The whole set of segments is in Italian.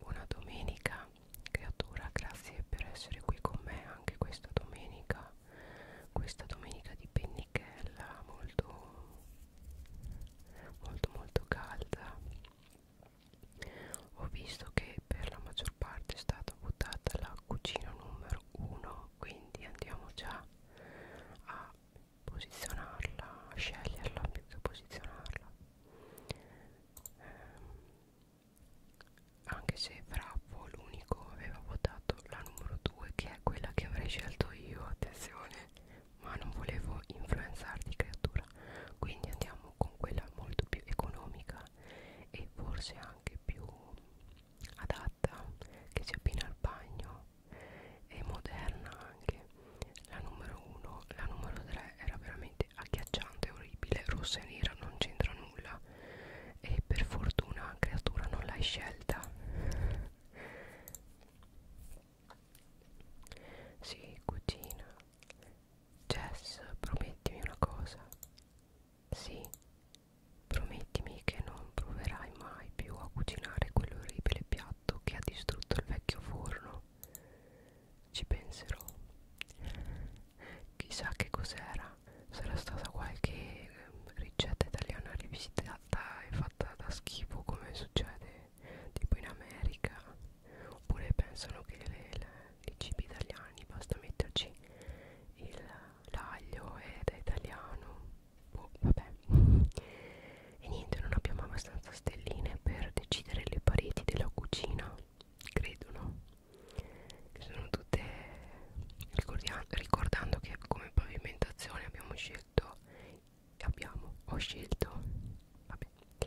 Buona eh, domenica creatura, grazie per essere qui con me anche questa domenica, questa domenica di pennichella molto molto molto calda. Ho visto che per la maggior parte è stata votata la cucina numero 1, quindi andiamo già a posizionarla, sceglierla più che posizionarla ehm, anche se Frappo l'unico aveva votato la numero 2 che è quella che avrei scelto io, attenzione ma non volevo influenzarti creatura quindi andiamo con quella molto più economica e forse anche più adatta gatta che si appina al bagno è moderna anche la numero 1 la numero 3 era veramente agghiacciante orribile rossa e nera non c'entra nulla e per fortuna creatura non l'hai scelta sì cucina Jess promettimi una cosa sì Promettimi che non proverai mai più a cucinare quell'orribile piatto che ha distrutto il vecchio forno. Ci penserò. Chissà che cos'era. Sarà stata qualche ehm, ricetta italiana rivisitata e fatta da schifo come succede tipo in America. Oppure pensano che le, le, i cibi italiani basta metterci l'aglio ed è italiano boh, vabbè e niente non abbiamo abbastanza stelline per decidere le pareti della cucina credono che sono tutte ricordando che come pavimentazione abbiamo scelto abbiamo ho scelto vabbè e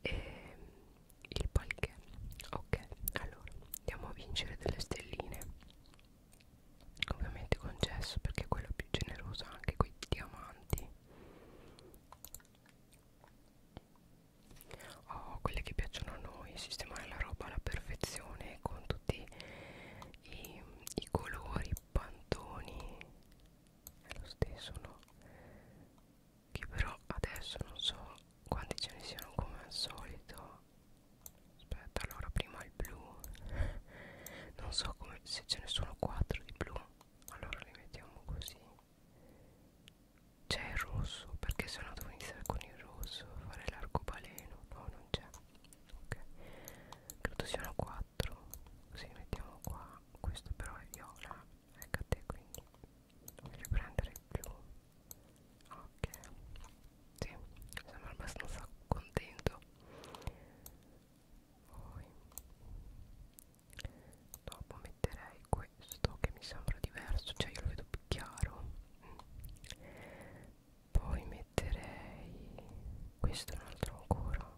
ehm, il palchè ok allora andiamo a vincere delle stelline ovviamente concesso perché è quella più generosa anche quei diamanti oh quelle che piacciono a noi sistemare la roba alla perfezione con tutti i, i colori pantoni è lo stesso no che però adesso non so quanti ce ne siano come al solito aspetta allora prima il blu non so come se ce ne sono quattro di blu allora li mettiamo così c'è il rosso perché se no devo iniziare con il rosso fare l'arcobaleno no non c'è ok credo siano quattro così mettiamo qua questo però è viola ecco a te quindi voglio prendere il blu ok sì, sono abbastanza contento qua poi dopo metterei questo che mi sembra diverso cioè io lo vedo più chiaro poi metterei questo un altro ancora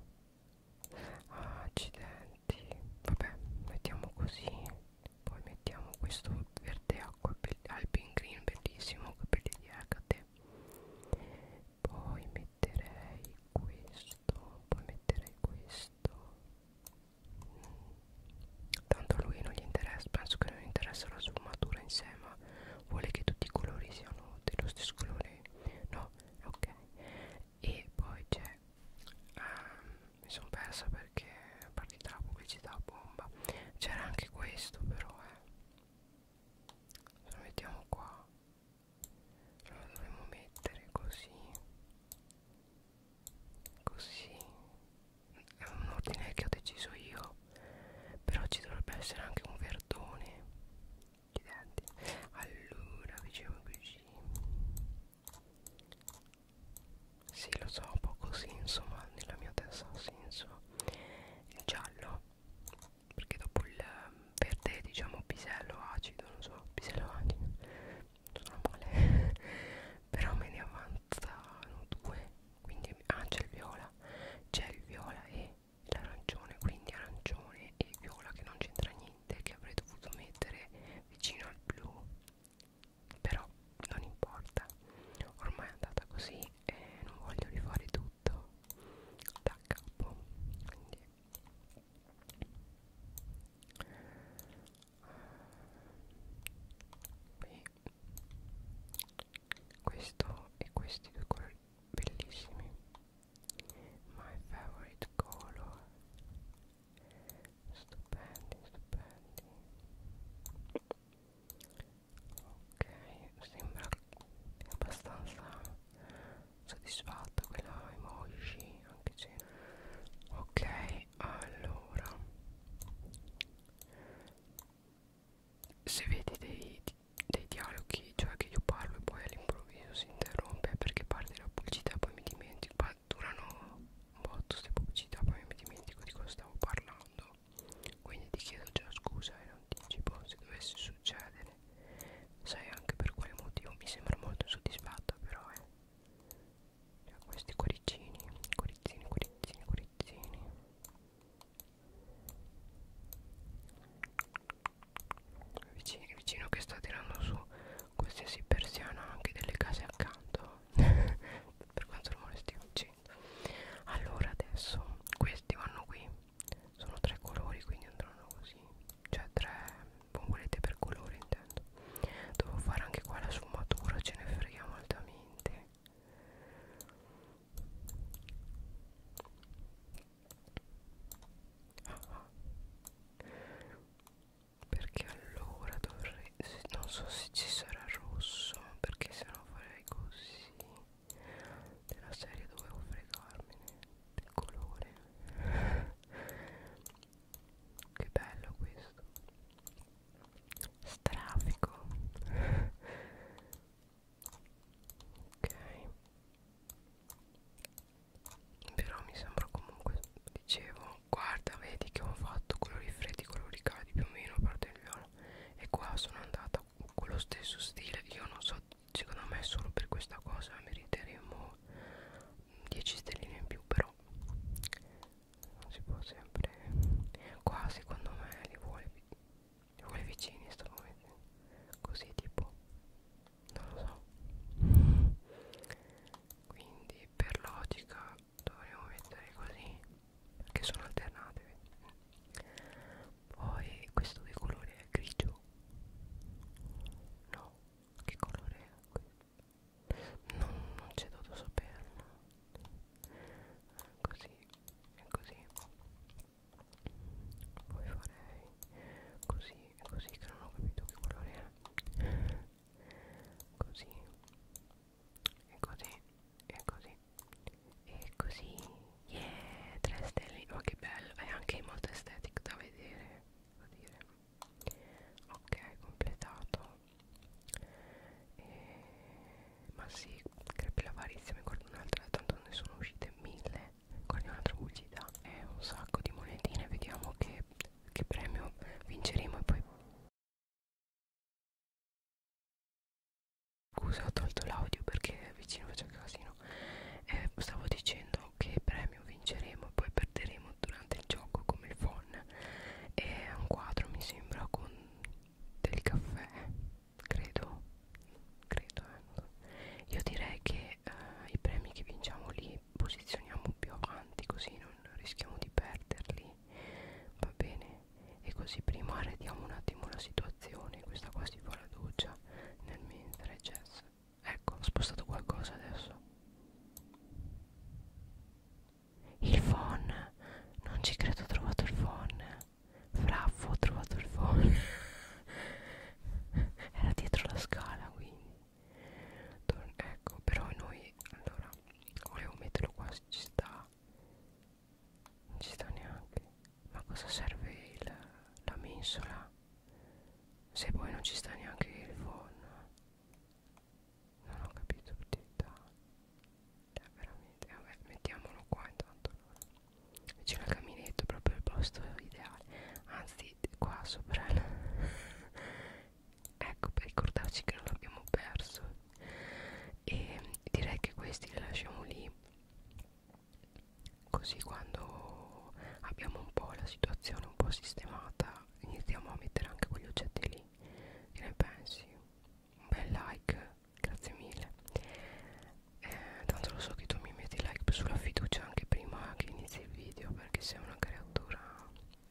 ah, accidenti vabbè mettiamo così poi mettiamo questo verde acqua al green bellissimo capelli di Hecate poi metterei questo poi metterei questo tanto a lui non gli interessa penso che non interessa la sfumatura in sé ma vuole che tutti i colori siano dello stesso colore no ok e poi c'è um, mi sono persa perché è partita la pubblicità bomba c'era anche questo però eh lo mettiamo qua lo dovremmo mettere così così è un ordine che ho deciso io però ci dovrebbe essere anche un verdone di denti allora facciamo così sì lo so un po' così insomma nella mia testa ha senso il giallo perché dopo il ehm, verde diciamo pisello acido non so pisello acido sono male però me ne avanzano due quindi ah c'è il viola c'è il viola e l'arancione quindi arancione e viola che non c'entra niente che avrei dovuto mettere vicino al blu però non importa ormai è andata così e non voglio rifare tutto tutto da capo quindi qui questo e questi due colori bellissimi my favorite color stupendi stupendi ok sembra abbastanza soddisfatto quella emoji anche se ok allora se vedi dei, dei dialoghi cioè che io parlo e poi all'improvviso si interrompe perché parte la pubblicità poi mi dimentico durano un botto queste pubblicità poi mi dimentico di cosa stavo parlando quindi ti chiedo già scusa in eh, anticipo se dovesse succedere. Sai anche per quale motivo mi sembra molto soddisfatta però eh. Cioè, questi cuoricini, cuoricini, cuoricini, cuoricini. Vicino, vicino che sta tirando su qualsiasi persiana anche delle case accanto. per quanto rumore stiamo facendo allora adesso questi vanno qui sono tre colori quindi andranno così cioè tre bombolette per colore intendo devo fare anche qua la sfumatura ce ne freghiamo altamente ah, ah. perché allora dovrei non so se ci sarà rosso perché se no farei così della serie dovevo fregarmene del colore che bello questo strafico ok però mi sembra comunque dicevo guarda vedi che ho fatto colori freddi colori caldi più o meno a parte il viola e qua sono andata fatta con lo stesso stile io non so secondo me solo per questa cosa meriteremo 10 stelline in più però non si può sempre qua secondo me li vuole li vuole vicini sto momento così tipo non lo so quindi per logica dovremmo mettere così che sono alternative poi questo che colore è grigio no che colore è questo non, non c'è dovuto saperlo eh, così e così poi farei così e così che non ho capito che colore è così e così e così e così yeah 3 stelle ma oh, che bello è anche molto estetic da vedere devo dire ok completato e... ma sì crepi l'avarizia mi guardo un'altra tanto ne sono uscite mille guardi un'altra bucita e un sacco di monetine vediamo che, che premio vinceremo e poi Scusa, ho tolto l'audio perché vicino faccio casino. Eh, stavo dicendo che premio vinceremo e poi perderemo durante il gioco come il phon. È un quadro, mi sembra, con del caffè, credo. Credo, eh. Io direi che eh, i premi che vinciamo lì posizioniamo più avanti, così non rischiamo di perderli. Va bene e così prima arrediamo un attimo la situazione questa qua si fa la doccia nel mentre Jess ecco ho spostato qualcosa adesso il phone non ci credo ho trovato il phone fraffo ho trovato il phone era dietro la scala quindi Tor ecco però noi allora volevo metterlo qua ci sta non ci sta neanche ma cosa serve il, la mensola se poi non ci sta neanche il phon non ho capito tutta eh, cioè, veramente vabbè mettiamolo qua intanto allora. c'è il caminetto proprio il posto ideale anzi qua sopra ecco per ricordarci che non l'abbiamo perso e direi che questi li lasciamo lì così quando abbiamo un po' la situazione un po' sistemata iniziamo a mettere anche quegli oggetti lì che ne pensi? un bel like grazie mille eh, tanto lo so che tu mi metti like sulla fiducia anche prima che inizi il video perché sei una creatura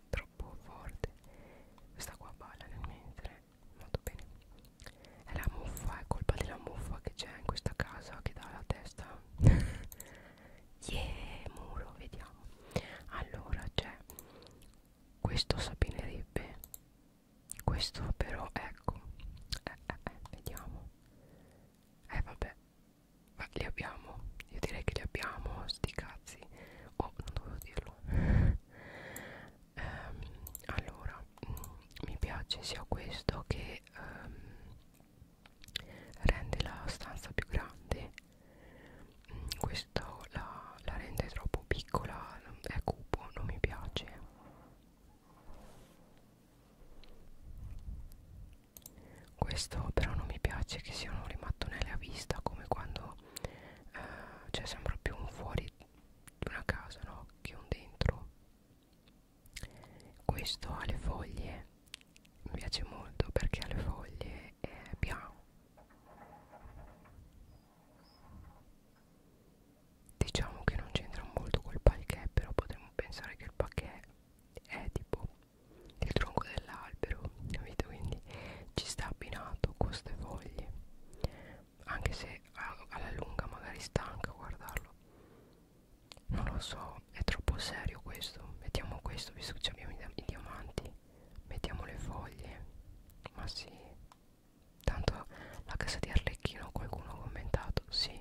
troppo forte questa qua balla nel mentre molto bene è la muffa è colpa della muffa che c'è in questa casa che dà la testa yeah muro vediamo allora c'è questo sapinerebbe questo però ecco eh, eh, eh, vediamo eh vabbè ma li abbiamo io direi che li abbiamo sti cazzi oh non dovevo dirlo ehm, allora mh, mm, mi piace sia questo che ehm, rende la stanza più grande mh, mm, questo la, la rende troppo piccola è cupo non mi piace questo però non mi piace che siano le mattonelle a vista come quando eh, c'è cioè sempre più un fuori di una casa no? che un dentro questo ha le foglie mi piace molto perché ha le foglie è bianco diciamo che non c'entra molto col parquet però potremmo pensare che il parquet è tipo il tronco dell'albero capito quindi ci sta abbinato con queste foglie anche se alla lunga magari stanca guardarlo non lo so è troppo serio questo mettiamo questo visto che abbiamo i diamanti mettiamo le foglie ma sì tanto la casa di Arlecchino qualcuno ha commentato sì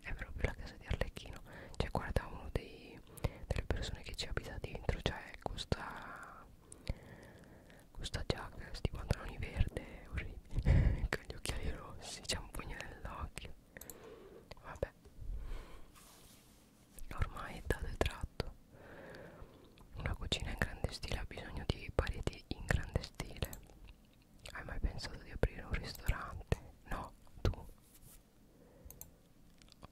è proprio la casa di Arlecchino cioè guarda uno dei, delle persone che ci abita dentro cioè questa questa giacca, questi pantaloni verde orribili con gli occhiali rossi, c'è un pugno nell'occhio vabbè ormai è dato e tratto una cucina in grande stile ha bisogno di pareti in grande stile hai mai pensato di aprire un ristorante? no, tu?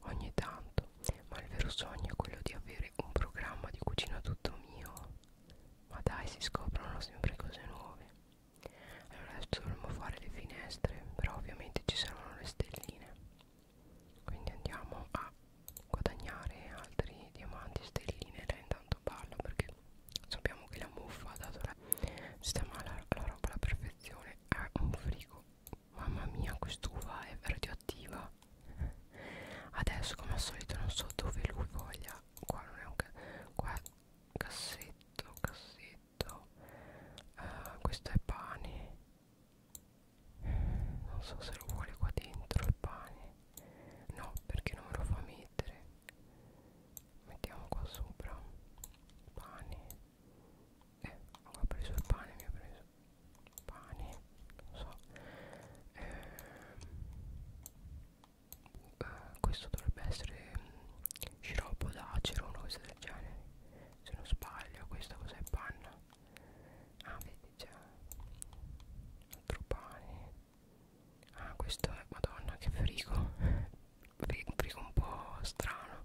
ogni tanto ma il vero sogno è quello di avere un programma di cucina tutto mio ma dai si scoprono sempre cose nuove Allora adesso dovremmo fare le finestre Però ovviamente ci saranno le stelline Quindi andiamo a guadagnare altri diamanti stelline Lei intanto balla perché sappiamo che la muffa ha dato la Sistema la, la roba alla perfezione È un frigo Mamma mia quest'uva è radioattiva qua adesso come al solito non so dove lui voglia qua non è un ca qua cassetto cassetto uh, questo è pane non so se lo vuole qua dentro il pane no perché non me lo fa mettere mettiamo qua sopra pane eh ho preso il pane mi ha preso pane boh, non so eh, eh, questo dovrebbe essere mh, sciroppo d'acero una cosa del genere se non sbaglio questa cos'è panna ah vedi già altro pane ah questo è madonna che frigo frigo, frigo un po' strano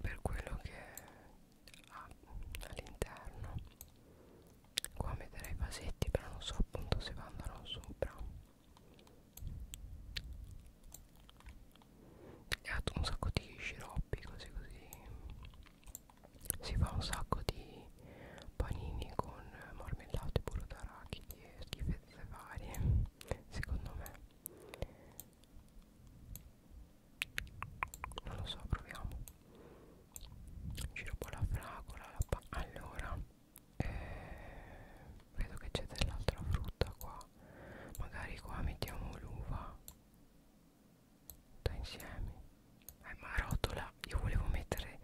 per quello che ha all'interno qua metterei i vasetti però non so appunto se vanno sopra e ha un sacco di sciroppi così così si fa un sacco di panini con marmellate burro d'arachidi e schifezze varie secondo me non lo so proviamo ci rubo la fragola la pa allora eh, vedo che c'è dell'altra frutta qua magari qua mettiamo l'uva tutta insieme eh ma rotola io volevo mettere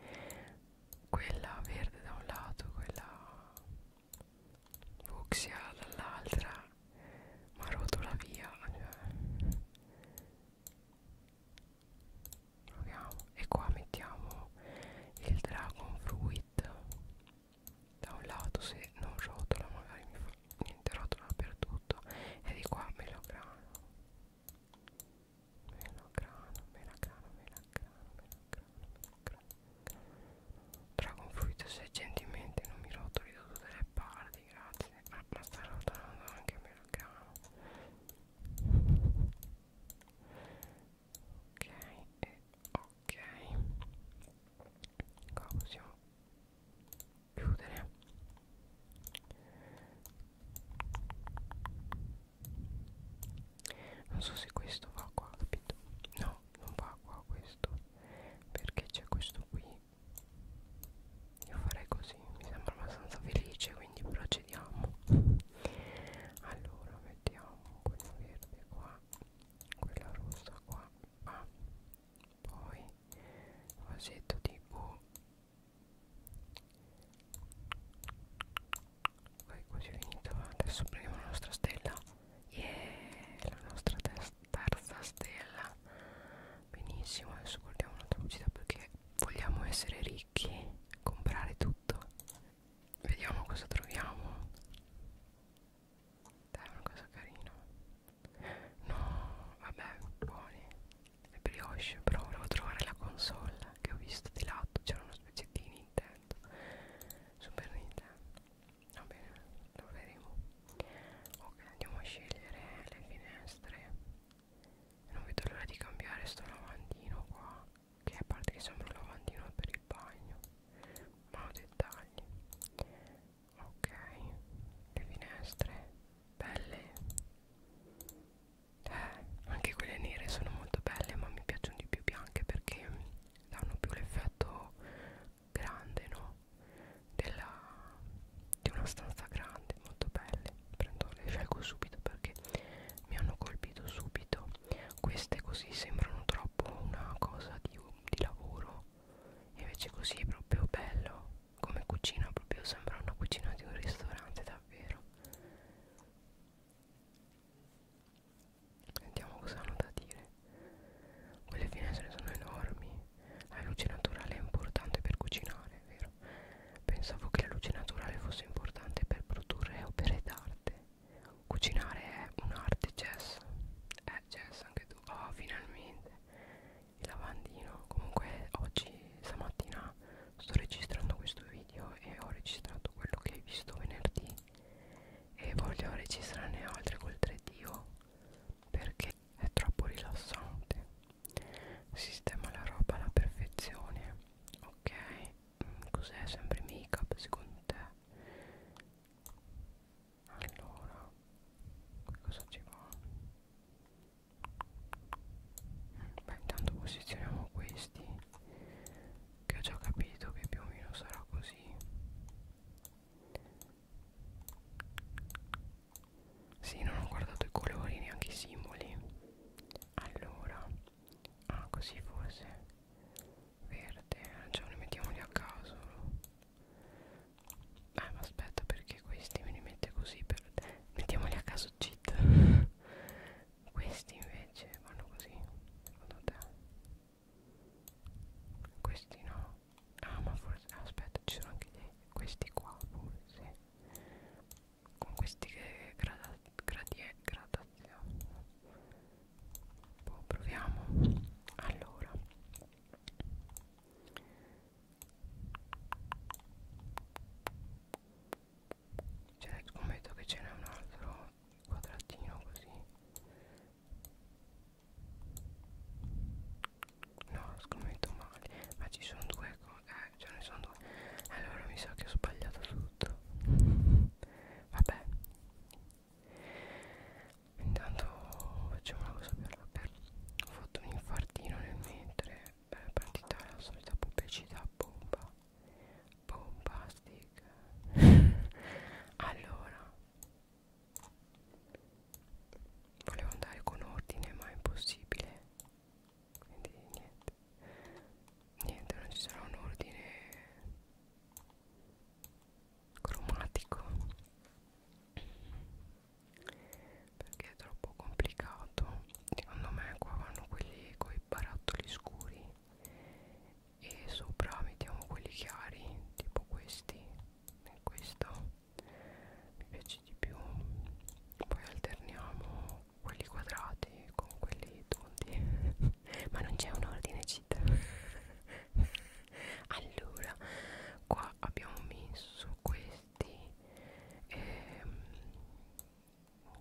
quella verde da un lato quella fucsia dall'altra ma rotola via cioè proviamo e qua mettiamo il dragon fruit da un lato se non rotola magari mi fa niente rotola dappertutto e di qua melograno melograno melograno melograno melograno dragon fruit se gentilmente non mi rotoli da tutte le parti grazie ma, ma sta rotolando anche melograno ok e ok qua possiamo chiudere non so se questo va qua capito no non va qua questo perché c'è questo qui io farei così mi sembra abbastanza felice quindi procediamo allora mettiamo quella verde qua quella rossa qua ah, poi vasetto tipo poi così è finita adesso prendiamo la nostra stella yeah, la nostra terza stella benissimo adesso guardiamo un'altra pubblicità perché vogliamo essere ricchi comprare tutto vediamo cosa troviamo dai una cosa carina no vabbè buoni le brioche però volevo trovare la console che ho visto di lato c'era una specie di Nintendo Super Nintendo va bene lo vedremo ok andiamo a scegliere le finestre non vedo l'ora di cambiare sto lavandino qua che a parte che sembra un lavandino per il bagno ma ho dettagli ok le finestre belle eh, anche quelle nere sono molto belle ma mi piacciono di più bianche perché danno più l'effetto grande no della di una stanza grande molto belle Prendo, le scelgo subito perché mi hanno colpito subito queste così sembrano troppo una cosa di, di lavoro invece così è proprio bello come cucina proprio sembra una cucina di un ristorante davvero sentiamo cosa hanno da dire quelle finestre sono enormi la luce naturale è importante per cucinare è vero pensavo che la luce naturale fosse importante per produrre opere d'arte cucinare è un'arte jazz eh jazz anche tu oh finalmente il lavandino comunque oggi stamattina sto registrando questo video e ho registrato quello che hai visto venerdì e voglio registrarne altre col 3D perché è troppo rilassante sistema la roba alla perfezione ok mm, cos'è sempre make up secondo te allora cosa ci va mm, beh intanto posizioniamo questi che ho già capito che più o meno sarà così sì, non ho guardato i colori, neanche i simboli. Allora, ah, così forse. Verde, arancione, ah, mettiamoli a caso. Eh, ma aspetta, perché questi me li mette così per... Mettiamoli a caso cheat. questi invece vanno così, secondo te? Questi no. Ah, ma forse... Aspetta, ci sono anche dei... Questi qua, forse con questi che grada, gradie, gradazioni boh, proviamo allora cioè scommetto che ce n'è un altro quadratino così No, scommetto male. Ma ci sono due cose. Eh, ce ne sono due. Allora mi sa che ho sbagliato tutto. Vabbè. Intanto facciamo una cosa più rapida. Ho fatto un infartino nel mentre è partita la solita pubblicità bomba. Bombastic. allora. Volevo andare con ordine ma è impossibile quindi niente niente non ci sarà un ordine cromatico perché è troppo complicato secondo me qua vanno quelli con i barattoli scuri e sopra mettiamo quelli chiari tipo questi e questo mi piace di più poi alterniamo quelli quadrati con quelli tondi ma non c'è un ordine città allora qua abbiamo messo questi ehm,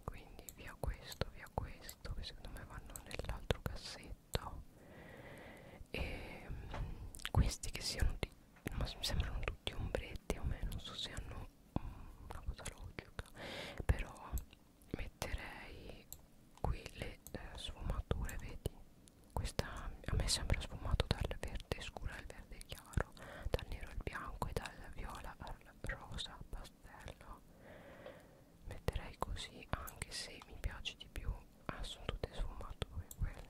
quindi via questo via questo che secondo me vanno nell'altro cassetto e ehm, questi che siano di ma mi sembrano tutti tutti ombretti a me non so se hanno mm, una cosa logica però metterei qui le eh, sfumature vedi questa a me sembra sfumato dal verde scuro al verde chiaro dal nero al bianco e dal viola al rosa pastello metterei così anche se mi piace di più ah sono tutte sfumature quelle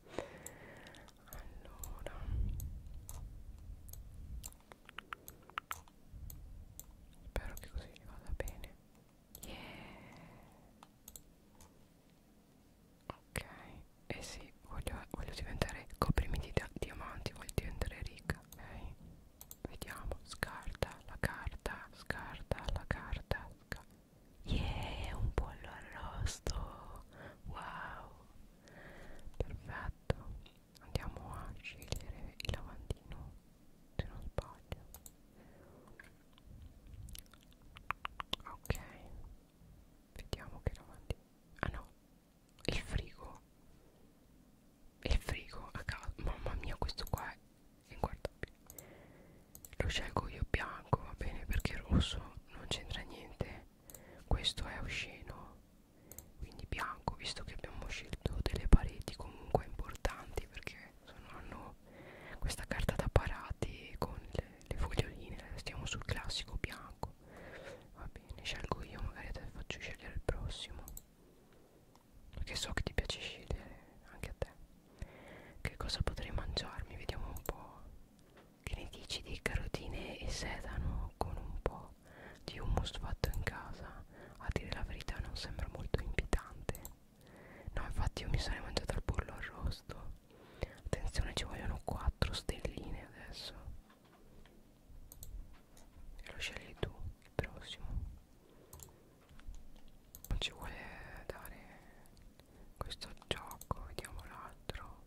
allora spero che così vada bene yeah. ok e eh sì voglio, voglio diventare coprimi di diamanti voglio diventare ricca ok vediamo scarta la carta scarta la carta sca yeah un pollo arrosto wow perfetto andiamo a scegliere il lavandino se non sbaglio ok vediamo che lavandino ah no il frigo il frigo a casa mamma mia questo qua è inguardabile lo scelgo io bianco va bene perché rosso non c'entra niente questo è osceno quindi bianco visto che abbiamo scelto delle pareti comunque importanti perché sono, hanno questa carta da parati con le, le foglioline stiamo sul classico bianco va bene scelgo io magari te faccio scegliere il prossimo perché so che ti piace scegliere anche a te che cosa potrei mangiarmi? Vediamo un po'. Che ne dici di carotine e sedano con un po' di hummus fatto in casa? A dire la verità non sembra molto invitante. No, infatti io mi sarei mangiata il pollo arrosto. Attenzione, ci vogliono 4 stelline adesso. E lo scegli tu, il prossimo. Non ci vuole dare questo gioco vediamo l'altro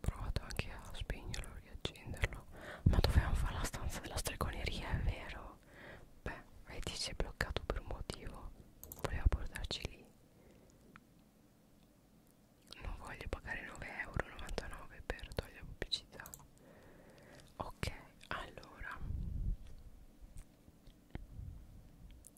provato anche a spegnerlo e riaccenderlo ma dovevamo fare la stanza della stregoneria è vero beh vedi si è bloccato per un motivo voleva portarci lì non voglio pagare 9,99 euro per togliere pubblicità ok allora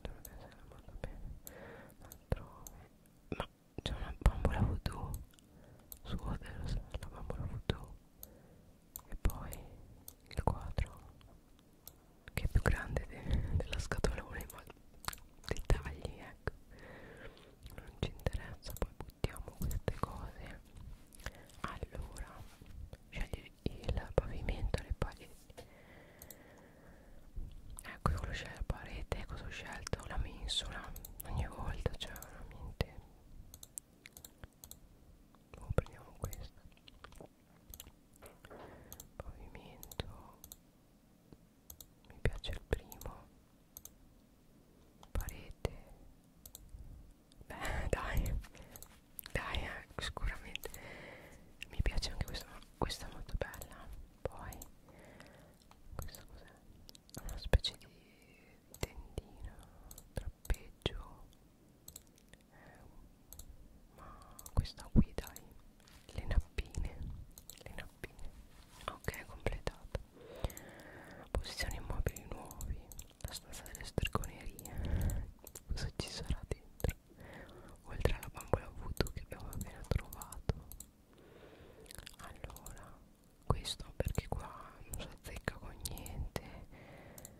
dovrebbe essere molto bene altrove ma c'è una bambola voodoo su Odelos la bambola voodoo e poi il quadro che è più grande de della scatolone ma dettagli ecco non ci interessa poi buttiamo queste cose allora scegli il pavimento le, pali, ecco io quello c'è la parete cosa ho scelto la mensola ogni volta c'è cioè, veramente oh, prendiamo questa pavimento mi piace il primo parete beh dai dai eh, sicuramente mi piace anche questa questa è molto bella poi questa cos'è una specie di tendino trappeggio eh, ma questa qui dai le nappine le nappine ok completata posizioni immobili nuovi la stanza delle stregonerie cosa ci sarà dentro dentro oltre alla bambola voodoo che abbiamo appena trovato allora questo perché qua non si azzecca con niente eh,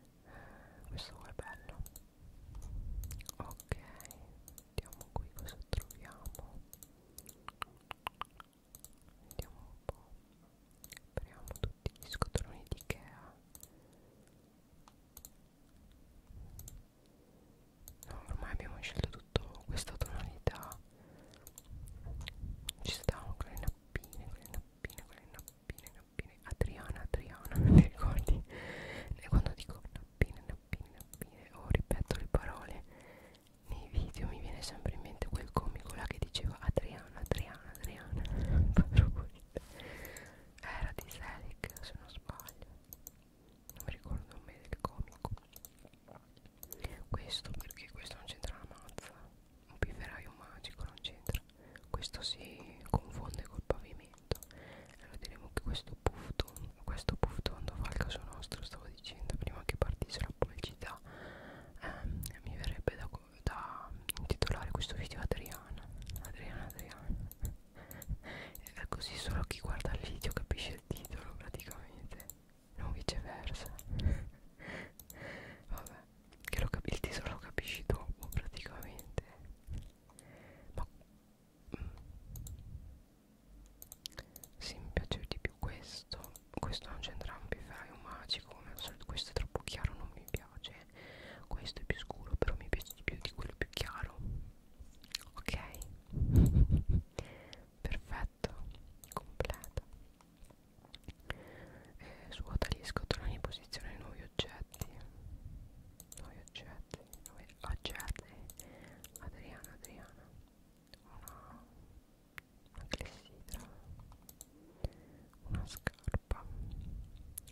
questo qua è bello ok vediamo qui cosa troviamo vediamo un po' apriamo tutti gli scotoloni di Ikea No, ormai abbiamo scelto tutto questa tonalità. Ci stanno quelle nappine, quelle nappine, quelle nappine, nappine. Adriana, Adriana, non mi ricordi? E quando dico nappine, nappine, nappine, o ripeto le parole nei video, mi viene sempre in mente quel comico là che diceva Adriana, Adriana, Adriana. era di Selic se non sbaglio non mi ricordo il nome del comico questo perché questo non c'entra la mazza un pifferaio magico non c'entra questo si confonde col pavimento allora diremo che questo puffton questo pufftondo fa il caso nostro stavo dicendo prima che partisse la pubblicità ehm, mi verrebbe da, da intitolare questo video Adriana Adriana Adriana è così solo chi guarda il video capisce il titolo praticamente non viceversa vabbè che lo il titolo lo capisci dopo praticamente ma mm, sì mi piace di più questo questo non c'entra un fai un magico come al solito questo è troppo chiaro non mi piace questo è più scuro però mi piace di più di quello più chiaro ok perfetto completo eh, svuota gli scatoloni in posizione nuovi oggetti nuovi oggetti nuovi oggetti Adriana Adriana una una clessidra una scarpa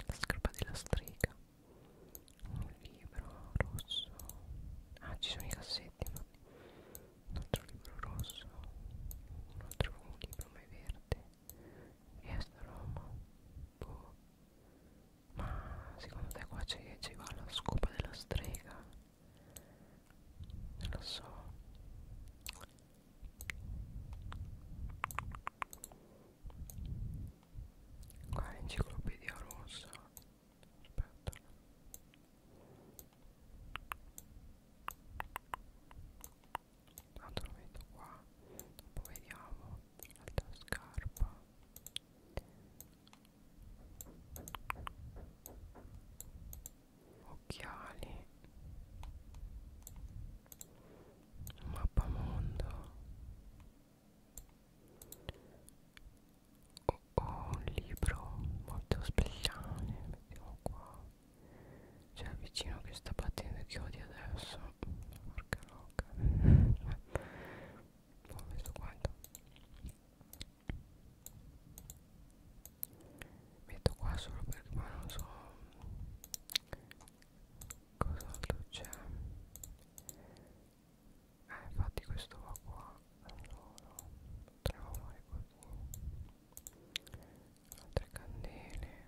la scarpa della strega un libro rosso ah ci sono i cassetti infatti un altro libro rosso un altro un libro mai verde riesta Roma boh ma secondo te qua ci va la scopa della strega non lo so qua l'enciclopedia rossa aspetta tanto lo metto qua dopo vediamo l'altra scarpa occhiali mappamondo oh, oh, un libro molto speciale mettiamo qua c'è il vicino che sta battendo i chiodi adesso porca loca ho messo quanto metto qua solo perché ma non so cos'altro c'è? Eh, infatti questo va qua. Allora, potremmo fare così. Altre candele.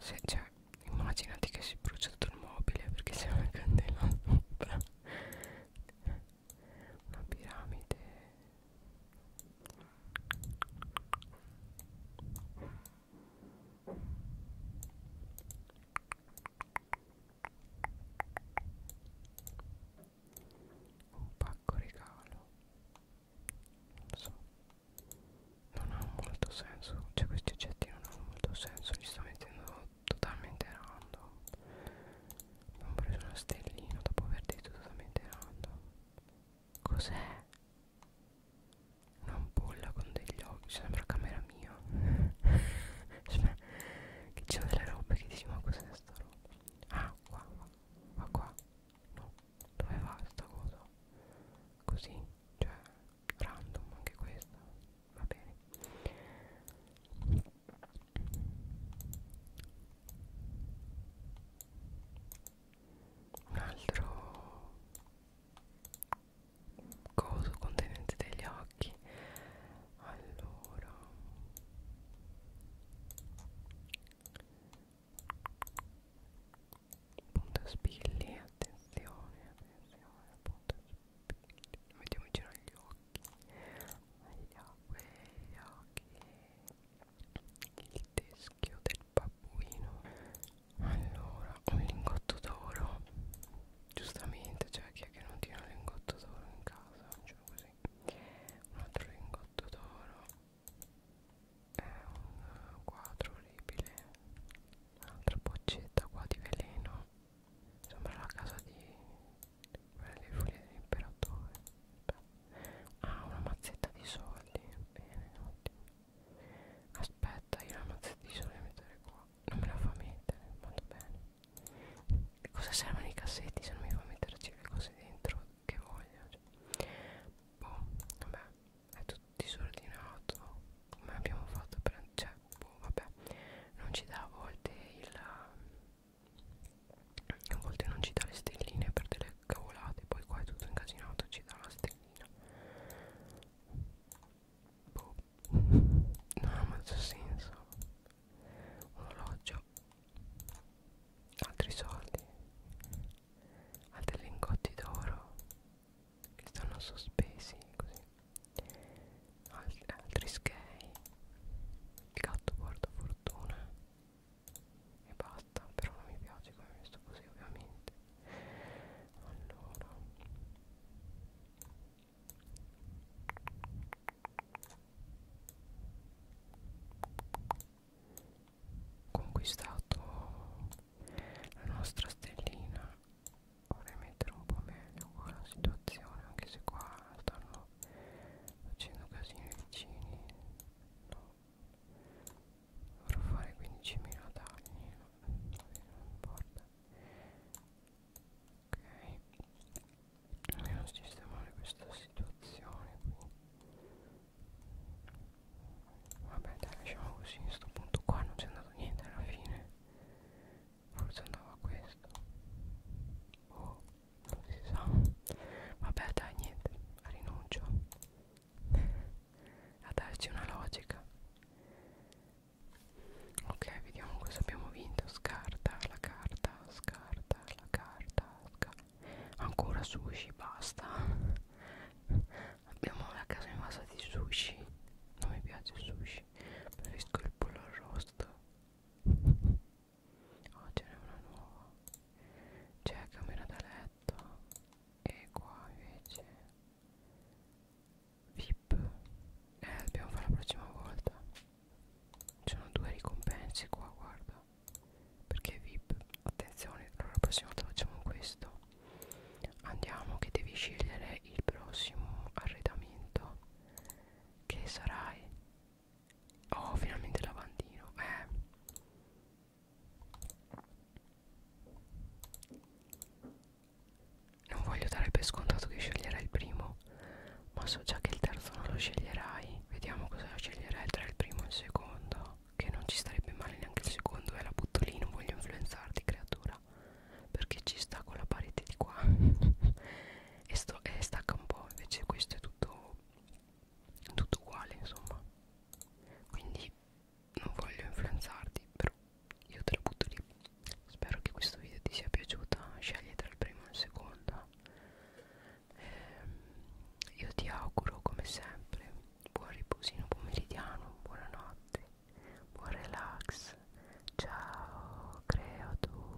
Se cioè, immaginati che si brucia tutto il mobile perché c'è una candela sopra. una piramide un pacco regalo non so non ha molto senso cioè questi oggetti non hanno molto senso li sto mettendo totalmente random abbiamo preso una stellina dopo aver detto totalmente random Cos'è? Una ampolla con degli occhi, sembra camera mia. cioè, che ci sono delle robe che dici ma cos'è sta roba? Ah, qua, qua, ma qua. No, dove va sta cosa? Così, cioè, random anche questa. Va bene un altro coso contenente degli occhi allora punto spilli attenzione attenzione punto spilli mettiamo vicino agli occhi agli occhi agli occhi il teschio del babbuino allora un lingotto d'oro giustamente cioè chi è che non tiene un lingotto d'oro in casa cioè così un altro lingotto d'oro è un quadro orribile un'altra boccetta qua di veleno sembra la casa di quella dei foglie dell'imperatore Ah, una mazzetta di soldi. Bene, ottimo. Aspetta, io la mazzetta di soldi la mettere qua. Non me la fa mettere, molto bene. Cosa servono i cassetti se non mi fa metterci le cose dentro che voglio? Cioè. Boh, vabbè, è tutto disordinato. Come abbiamo fatto per... Cioè, boh, vabbè, non ci dà a volte il... A volte non ci dà le stelline per delle cavolate poi qua è tutto incasinato ci dà la stellina boh non ha molto senso un orologio altri soldi altri lingotti d'oro che stanno sospesi così Alt altri skei il gatto porta fortuna e basta però non mi piace come messo così ovviamente allora conquistato la nostra stellina vorrei mettere un po' meglio qua la situazione anche se qua stanno facendo casino i vicini no dovrò fare 15.000 tagli non importa ok dobbiamo sistemare questa situazione qui vabbè dai lasciamo così a sto punto qua non c'è andato niente alla fine forse andava questo oh non si sa vabbè dai niente rinuncio a darci una logica ok vediamo cosa abbiamo vinto scarta la carta scarta la carta scarta ancora sushi basta abbiamo la casa invasa di sushi non mi piace il sushi preferisco il pollo arrosto oh ce n'è una nuova c'è camera da letto aspetta e qua invece vip eh dobbiamo fare la prossima volta ci sono due ricompense qua guarda perché vip attenzione allora la prossima volta facciamo questo andiamo che devi scegliere il prossimo arredamento che sarai oh finalmente lavandino eh non voglio dare per scontato che sceglierai il primo, ma so già che il terzo non lo sceglierai. Vediamo cosa sceglierai tra il primo e il secondo. Che non ci starebbe male neanche il secondo, e eh, la butto lì, non voglio influenzarti, creatura. Perché ci sta con la parete di qua. e, sto, e stacca un po', invece questo è tutto tutto uguale insomma quindi non voglio influenzarti però io te la butto lì spero che questo video ti sia piaciuta scegli tra il primo e il secondo eh, io ti auguro come sempre buon riposino pomeridiano buonanotte buon relax ciao creatura